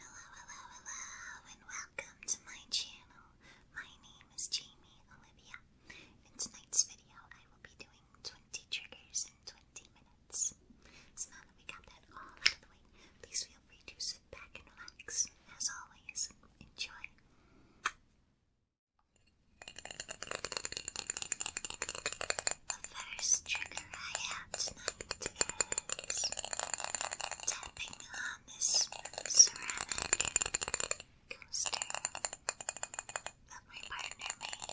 Hello, hello, hello, and welcome to my channel. My name is Jamie Olivia. In tonight's video, I will be doing 20 triggers in 20 minutes. So now that we got that all out of the way, please feel free to sit back and relax. As always, enjoy the first trigger I have tonight is tapping on this ceramic coaster that my partner made.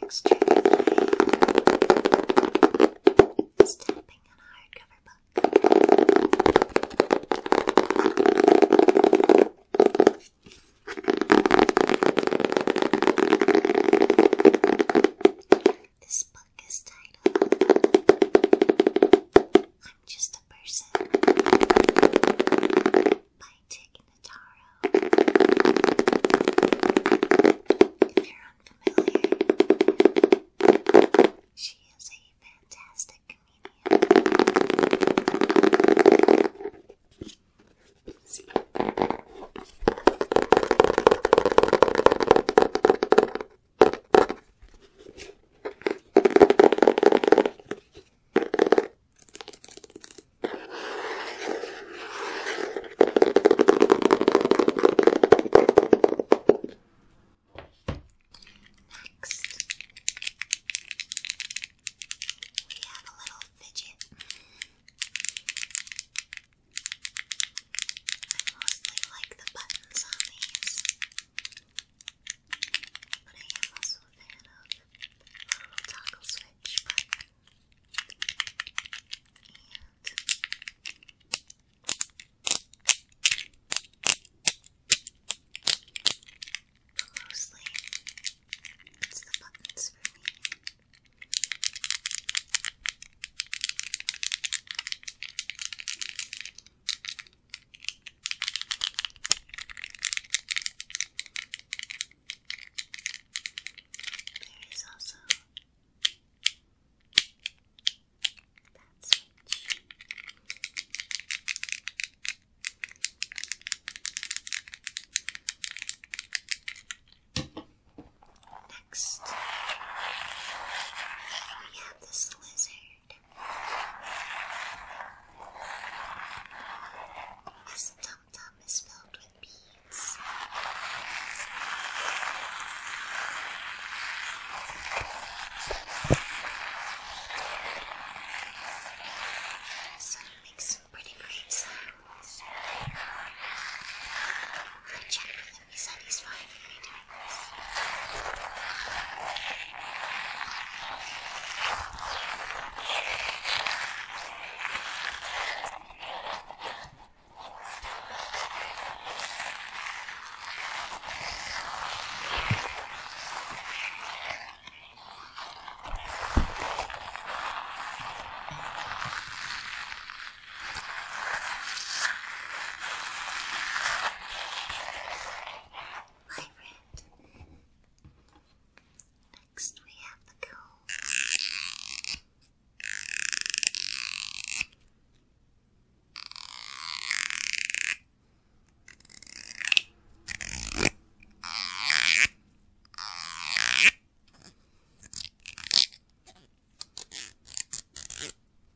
Next trigger is tapping on a hardcover book. This book is titled I'm Just a Person Person by Dick Notaro. If you're unfamiliar, she is a fantastic comedian. Next, we have a little fidget. I mostly like the buttons on these. But I am also a fan of little toggle switch but mostly it's the buttons for me. There is also that switch. Next, we have this lizard. His dum tum is filled with beads. it makes pretty great he said he's fine with me doing this. Vibrant. Next we have the cool.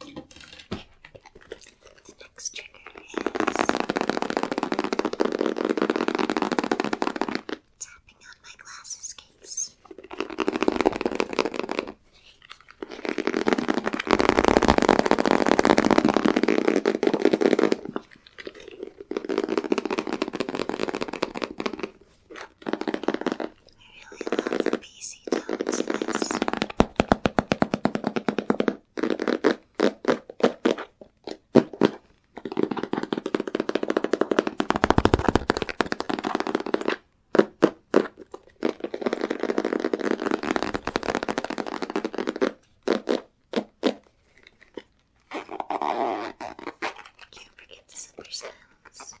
The next trigger is tapping on my glasses case. I really love the PC tone to this. Can't forget the slipper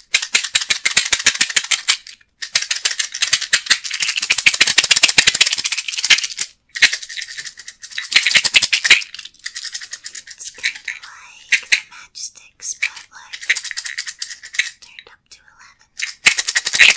It's kind of like the matchsticks, but like turned up to 11.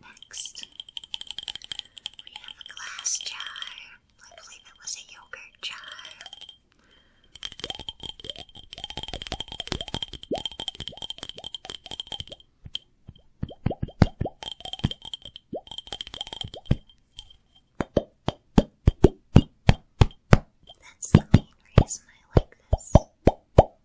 Next, we have a glass jar. I believe it was a yogurt jar. That's the main reason I like this.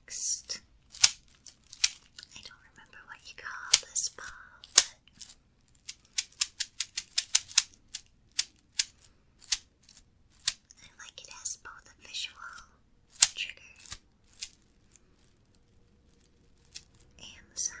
Next, I don't remember what you call this ball, but I like it as both a visual trigger and the sound.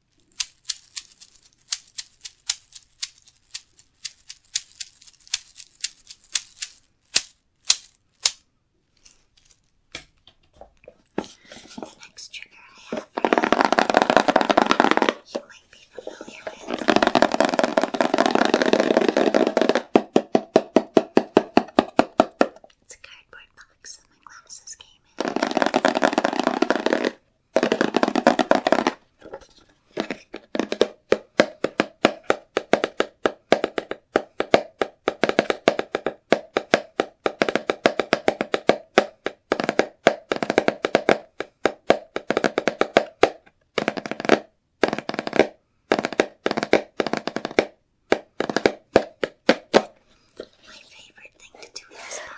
The next trigger I have for you, you might be familiar with. It's a cardboard box that my glasses came in. My favorite thing to do in this box um,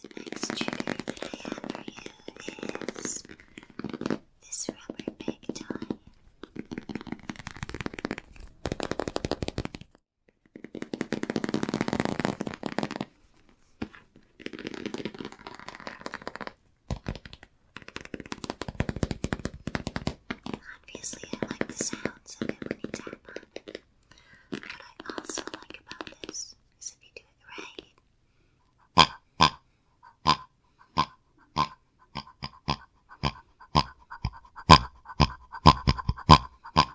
The next trigger that I have for you is this rubber pig toy. Obviously, I like the sounds of it when you tap on What I also like about this is if you do it right.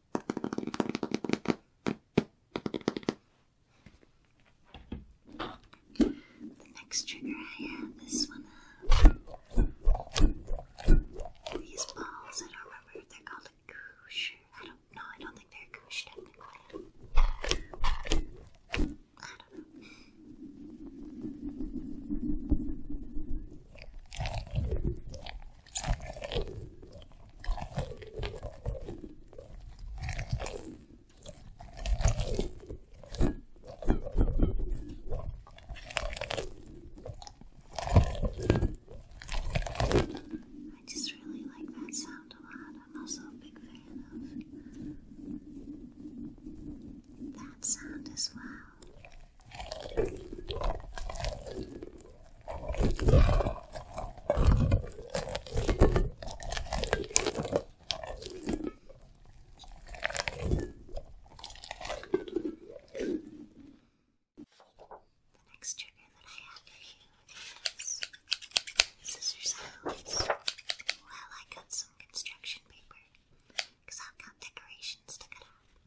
The next trigger I have is one of these balls. I don't remember if they're called a goosh. I don't know. I don't think they're a goosh technically. I don't know. I just really like that sound a lot. I'm also a big fan of that sound as well. The next trigger that I have for you is scissor sounds. Well, I cut some construction paper because I've got decorations to cut out.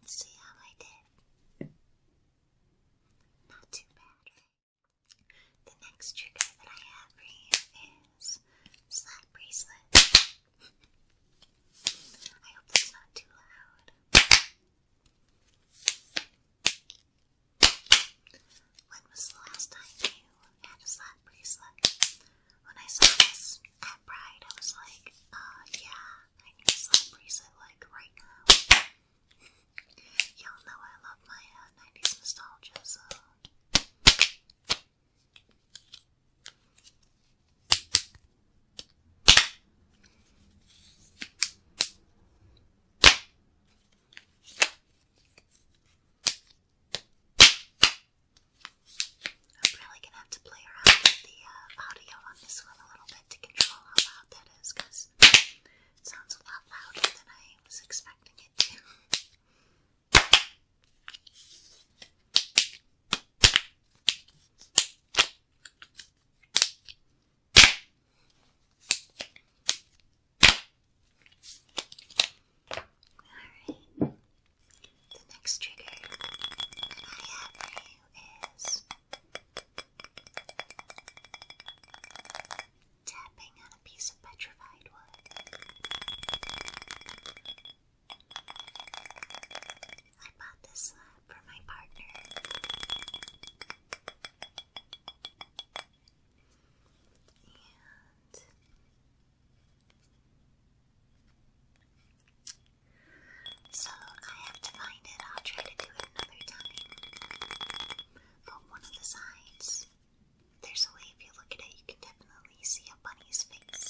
Let's see how I did. Not too bad, The next trigger that I have for you is slap bracelet. I hope that's not too loud. When was the last time you had a slap bracelet? When I saw this at Pride, I was like, uh, yeah, I need a slap bracelet, like, right now. Y'all know I love my 90s uh, nostalgia, I'm really gonna have to play around with the uh, audio on this one a little bit to control how loud that is it sounds a lot louder than I was expecting it to. Alright. The next trigger I have is tapping on a piece of petrified wood. I bought this slab uh, for my partner so I have to find it. I'll try to do it another time. But one of the sides, there's a way if you look at it, you can definitely see a bunny's face.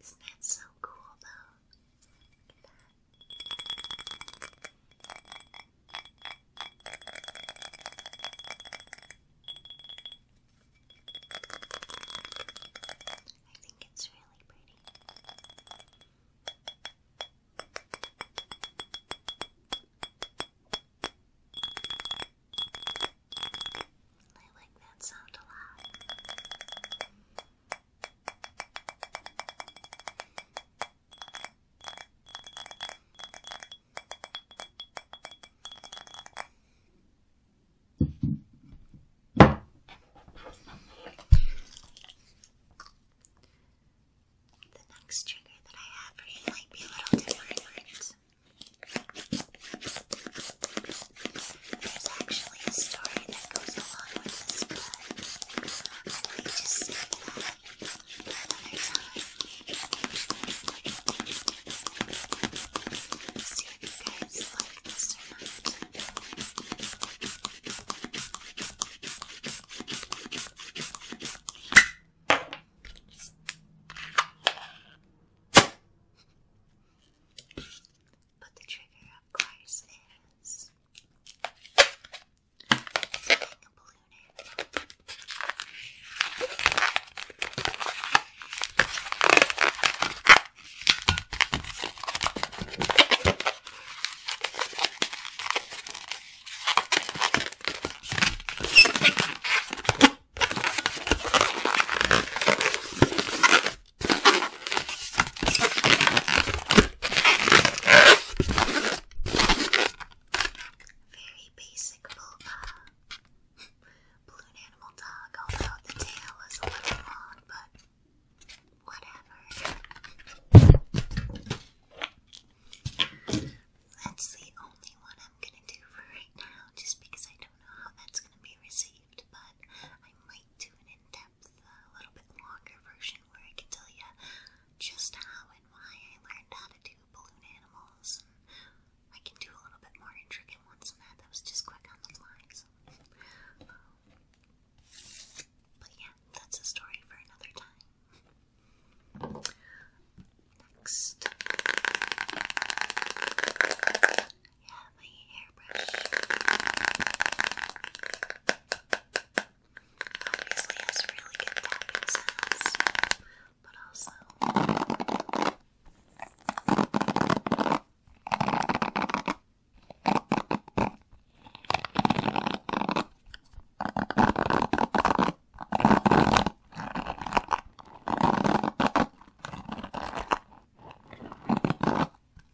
Isn't that so cool, though? I think it's really pretty. I like that sound a lot. The next trigger that I have for you might be a little different. There's actually a story that goes along with this book. I might just save that another time. See if you guys like this or not. But the trigger, of course, is a balloon very basic Balloon animal dog, although the tail is a little long, but whatever. That's the only one I'm gonna do for right now, just because I don't know how that's gonna be received, but I might like an in depth, a uh, little bit longer version where I can tell you just how and why I learned how to do balloon animals. I can do a little bit more intricate ones than That was just quick on the fly. So. But yeah, that's a story for another time. Next. Yeah, my hairbrush. Obviously has really good tapping sounds, but also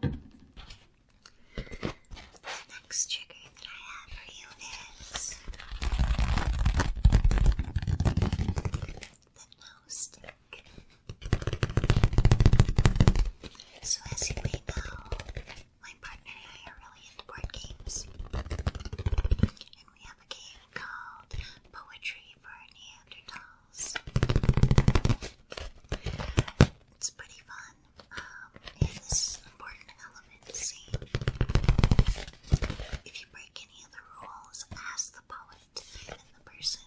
The next trigger that I have for you is the nose stick. So as you may know, my partner and I are really into board games. And we have a game called Poetry for a Neanderthal. It's pretty fun. Um, important to see. If you break any of the rules, ask the poet and the person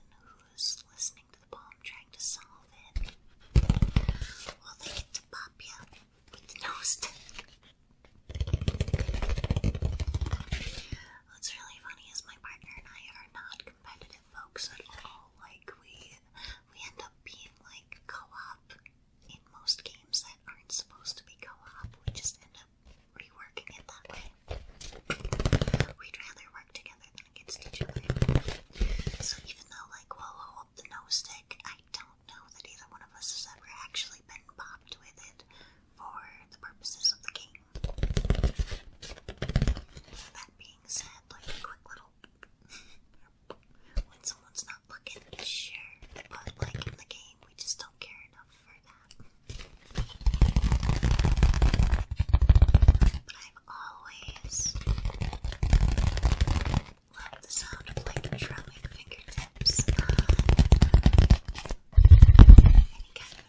who's listening to the poem trying to solve it. Well, they get to pop you with the nose stick. What's really funny is my partner and I are not competitive folks at all. Like we we end up being like co-op in most games that aren't supposed to be co-op. We just end up reworking it that way. We'd rather work together than against each other. So even though like we'll hold the nose stick, I don't know that either one of us has ever actually been popped with it for the purposes of the game. That being being said, like a quick little when someone's not looking, sure. But like in the game, we just don't care enough for that. But I've always loved the sound of like drumming fingertips on um, any kind of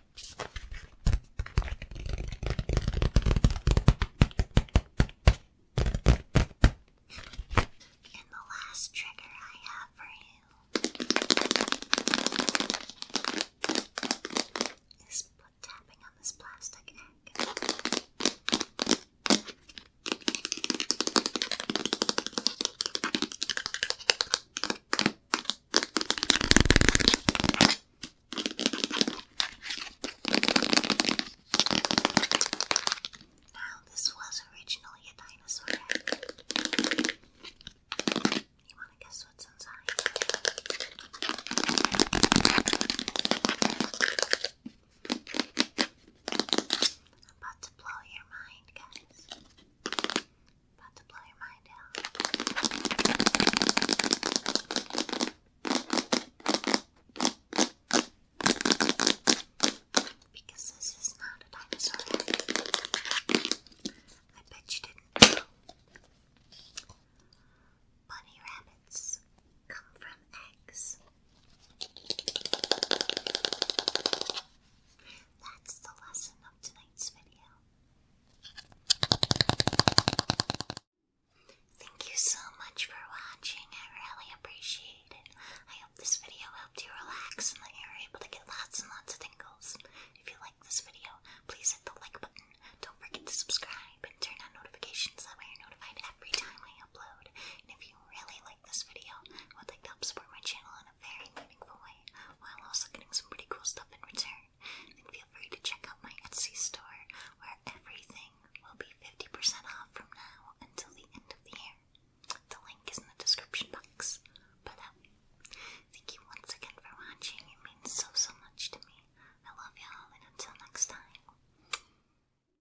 And the last trigger I have for you is put tapping on this plastic egg. Now, this was originally a dinosaur You want to guess what's inside? I'm about to blow your mind, guys. About to blow your mind out. Because this is not a dinosaur. I bet you didn't know. Bunny rabbits come from eggs. That's the lesson of tonight's video. Thank you so much for watching. I really appreciate it. I hope this video helped you relax and that you're able to get lots and lots of tingles. If you like this video, please hit the like button. Don't forget to subscribe and turn on notifications. That way you're notified every time I upload. And if you really like this video I would like to help support my channel in a very meaningful way, while also getting some pretty cool stuff in return, and feel free to check out my Etsy store where everything will be 50% off from now until the end of the year. The link is in the description box. But thank you once again for watching. It means so, so much to me. I love y'all, and until next time.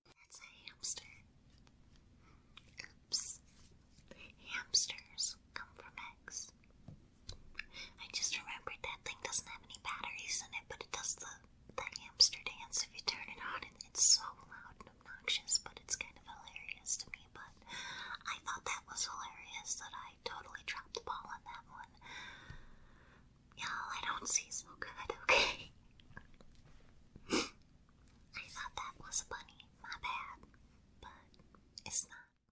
That's a hamster. Oops. Hamsters come from eggs. I just remembered that thing doesn't have any batteries in it, but it does the, the hamster dance if you turn it on. it's so loud and obnoxious, but it's kind of hilarious to me. But I thought that was hilarious that I totally dropped the ball on that one. Y'all, I don't see so okay? I thought that was a bunny, my bad, but it's not.